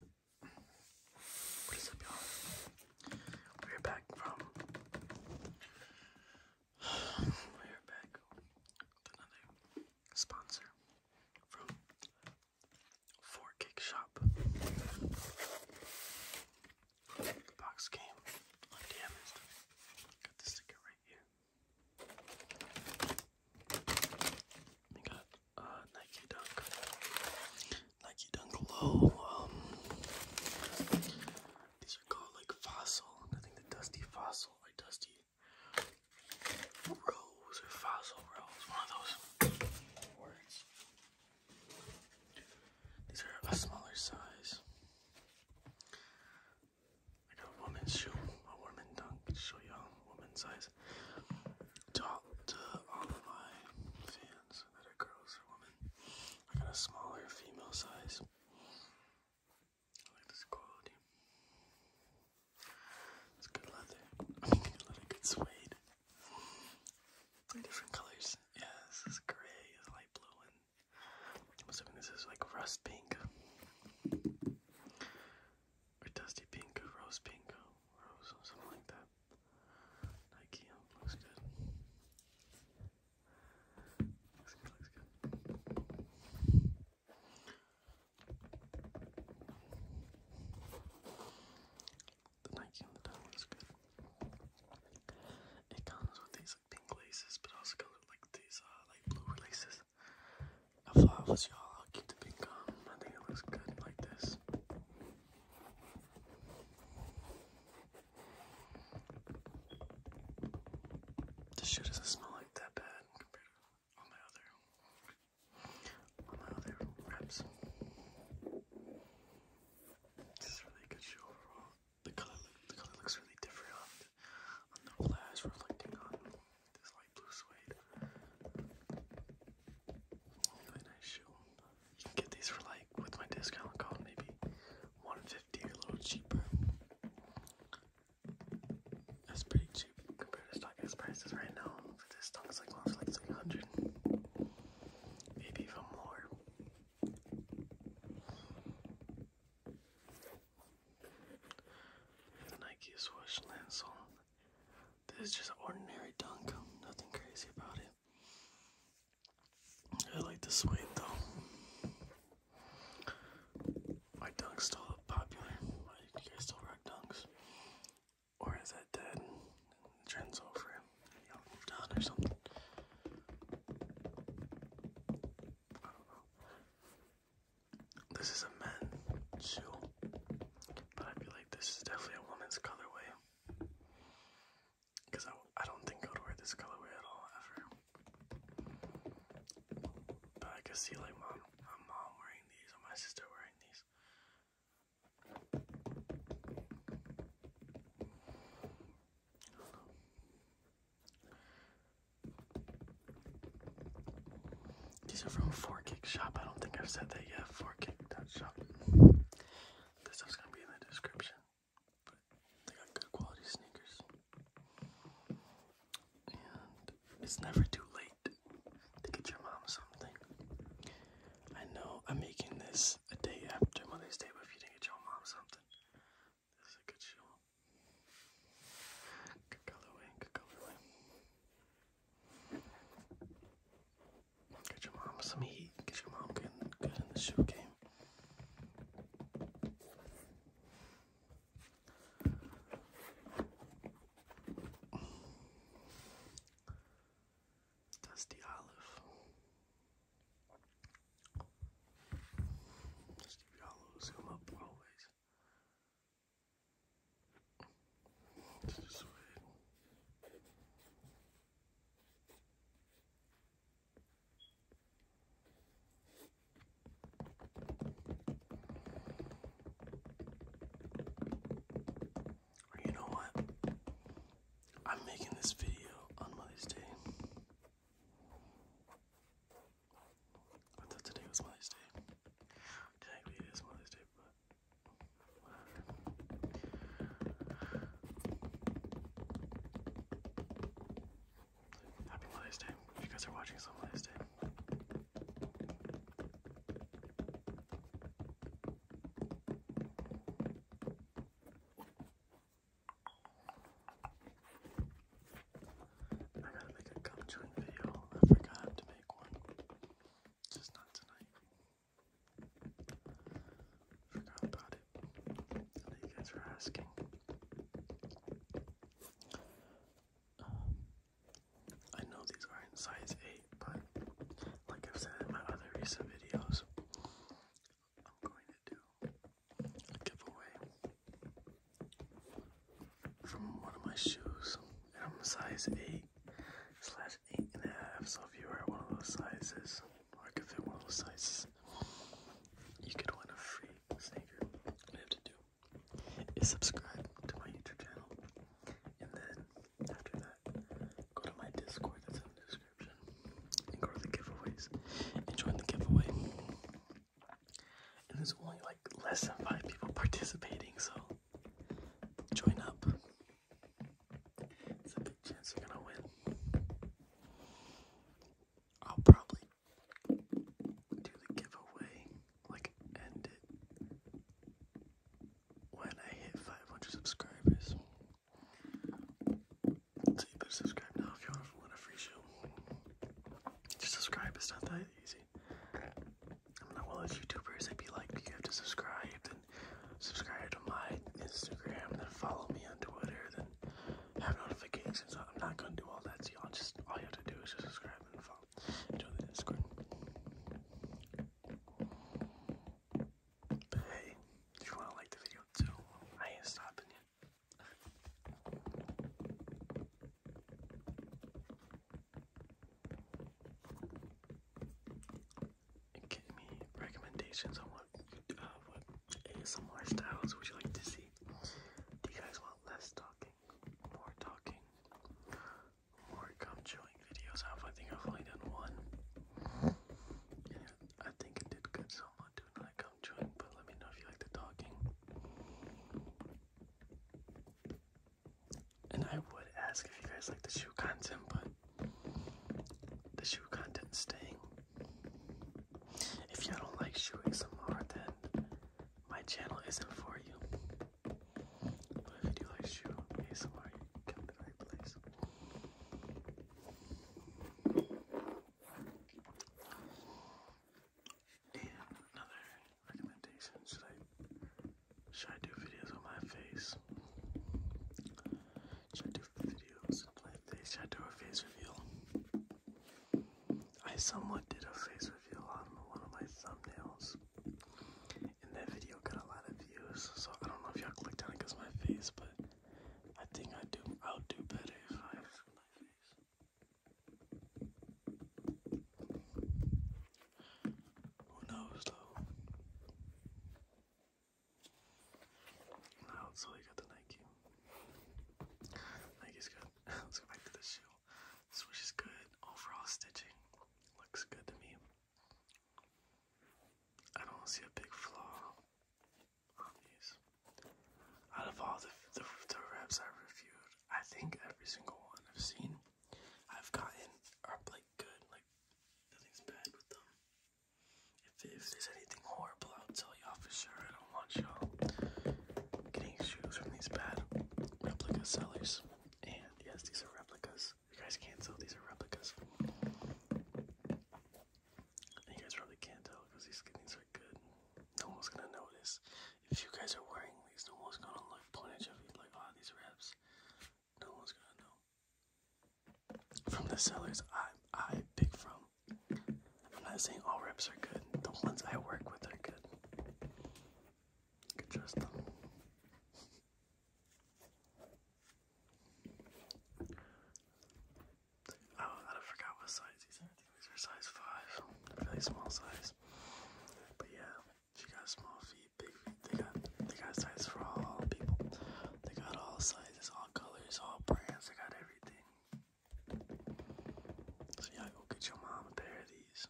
What is up, y'all? We're back from. We're back with another sponsor from Four Shop. The box came undamaged. Got the sticker right here. We got uh, Nike Dunk, Nike Dunk Low. Um, these are called like Fossil. I think the Dusty Fossil or Dusty Rose or Fossil Rose, one of those words. These are a smaller size. I got a woman's shoe, a woman dunk. Show y'all woman sizes talk to all of my fans that girls or women. I got a smaller female size. I like this quality. It's good leather. I mean, good leather, good suede. different colors. Yeah, this is gray, is light blue, and this is like rust pink or dusty pink, rose pink, rose, something like that. Nike looks good. The Nike on the down looks good. It comes with these like pink laces, but also comes with like these uh, like blue laces. I thought was y'all. I'll keep the pink on. I think it looks good like this. This shoe doesn't smell like that bad compared to all my other all my other wraps. This is really good shoe overall. The color the color looks really different on the, on reflecting on this light blue suede. Really nice shoe. You can get these for like with my discount code maybe 150 a little cheaper. That's pretty cheap compared to StockX prices right now. For this stock is like going like 300. Maybe even more. The Nike swoosh lancel. This is just ordinary dunk, nothing crazy about it. I like this weight though. My dunk's still popular. You guys still rock dunks. Or is that dead? The trend's over. Y'all moved on or something. I don't know. This is a men's shoe. But I feel like this is definitely a woman's colorway. Because I, I don't think I would wear this colorway at all, ever. But I could see, like, my mom wearing these or my sister wearing these. These are from 4Kick Shop. I don't think I've said that yet. 4Kick.shop. This stuff's gonna be in the description. But they got good quality sneakers. And it's never too late to get your mom something. I know I'm making this a day after Mother's Day, but if you didn't get your mom something, this a good shoe. Good colorway, good colorway. Get your mom some heat. Get your mom good, good in the shoe game. Dusty Olive. Dusty Olives come up always. Just wait. You know what? I'm making this video on Mother's Day. I thought today was Mother's Day. Technically, it is Mother's Day, but Happy Mother's Day. If you guys are watching, it's on I gotta make a gum joint video. I forgot to make one. Just not tonight. Forgot about it. I know you guys were asking. Um, I know these are in size 8, but like I've said in my other recent videos, I'm going to do a giveaway from one of my shoes, I'm size 8 eight slash eight and a half. So if you are one of those sizes, or could fit one of those sizes, you could win a free sneaker. All you have to do is subscribe to my YouTube channel, and then after that, go to my Discord that's in the description, and go to the giveaways and join the giveaway. And there's only like less than five people participating, so join up. It's a big chance you're gonna win. I'll probably do the giveaway, like end it when I hit 500 subscribers. So you better subscribe now if you want to win a free show. Just subscribe, it's not that easy. not one of those YouTubers be like, you have to subscribe, subscribe to my Instagram, then follow me on Twitter, then have notifications. I'm not gonna do all that to y'all. Just all you have to do is just subscribe and follow. Join the Discord. But hey, if you wanna like the video too, I ain't stopping you give me recommendations on what, uh, what ASMR styles would you like to see. Do you guys want less talking, more talking, more gum chewing videos? I think I've only done one. I think it did good, so I'm not doing another gum chewing, but let me know if you like the talking. And I would ask if you guys like the shoe content, but the shoe content staying. If you don't like shoeing some more, then my channel isn't for you. But if you like shoe ASMR, you come to the place. And another recommendation: should I should I do videos on my face? Should I do videos and play face? Should I do a face reveal? I somewhat did a face reveal on one of my thumbnails. And that video got a lot of views, so I don't know if y'all clicked on it because my face, but I think I do I'll do better if I have my face. Who knows though? No, so you got the Nike. Nike's good. Let's go back to the shoe. Swoosh is good. Overall stitching looks good to me. I don't see a big flaw on these. Out of all the, the, the reps I've reviewed, I think every single one I've seen, I've gotten are like good. Like nothing's bad with them. If, there's anything horrible, I'll tell y'all for sure. I don't want y'all getting shoes from these bad replica sellers. And yes, these are replicas. You guys can't tell these are replicas. you guys probably can't tell because these things are good. No one's gonna notice. If you guys are wearing these, no one's gonna like point at you and be like, "Ah, these reps." No one's gonna know from the sellers I I pick from. I'm not saying all reps are good. The ones I work with are good. You trust them. Oh, I forgot what size these are. these are size five. Really small size. But yeah, she got small feet, big They got they got size for all people. They got all sizes. It's all colors, all brands. I got everything. So y'all go get your mom a pair of these.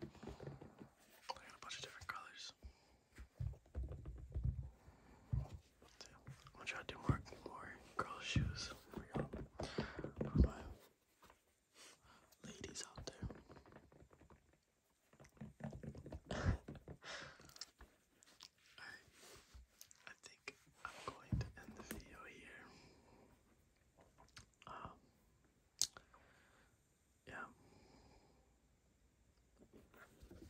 I got a bunch of different colors. I'm gonna try to do more, more girl shoes for y'all. ladies out there. I think I'm going to end the video here. Um, yeah.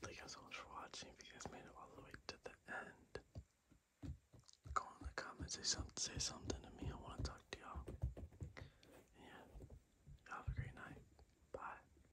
Thank you so much for watching. If you guys made it all the way to the end, go in the comments, say, some, say something to me. I want to talk to y'all. yeah, have a great night. Bye.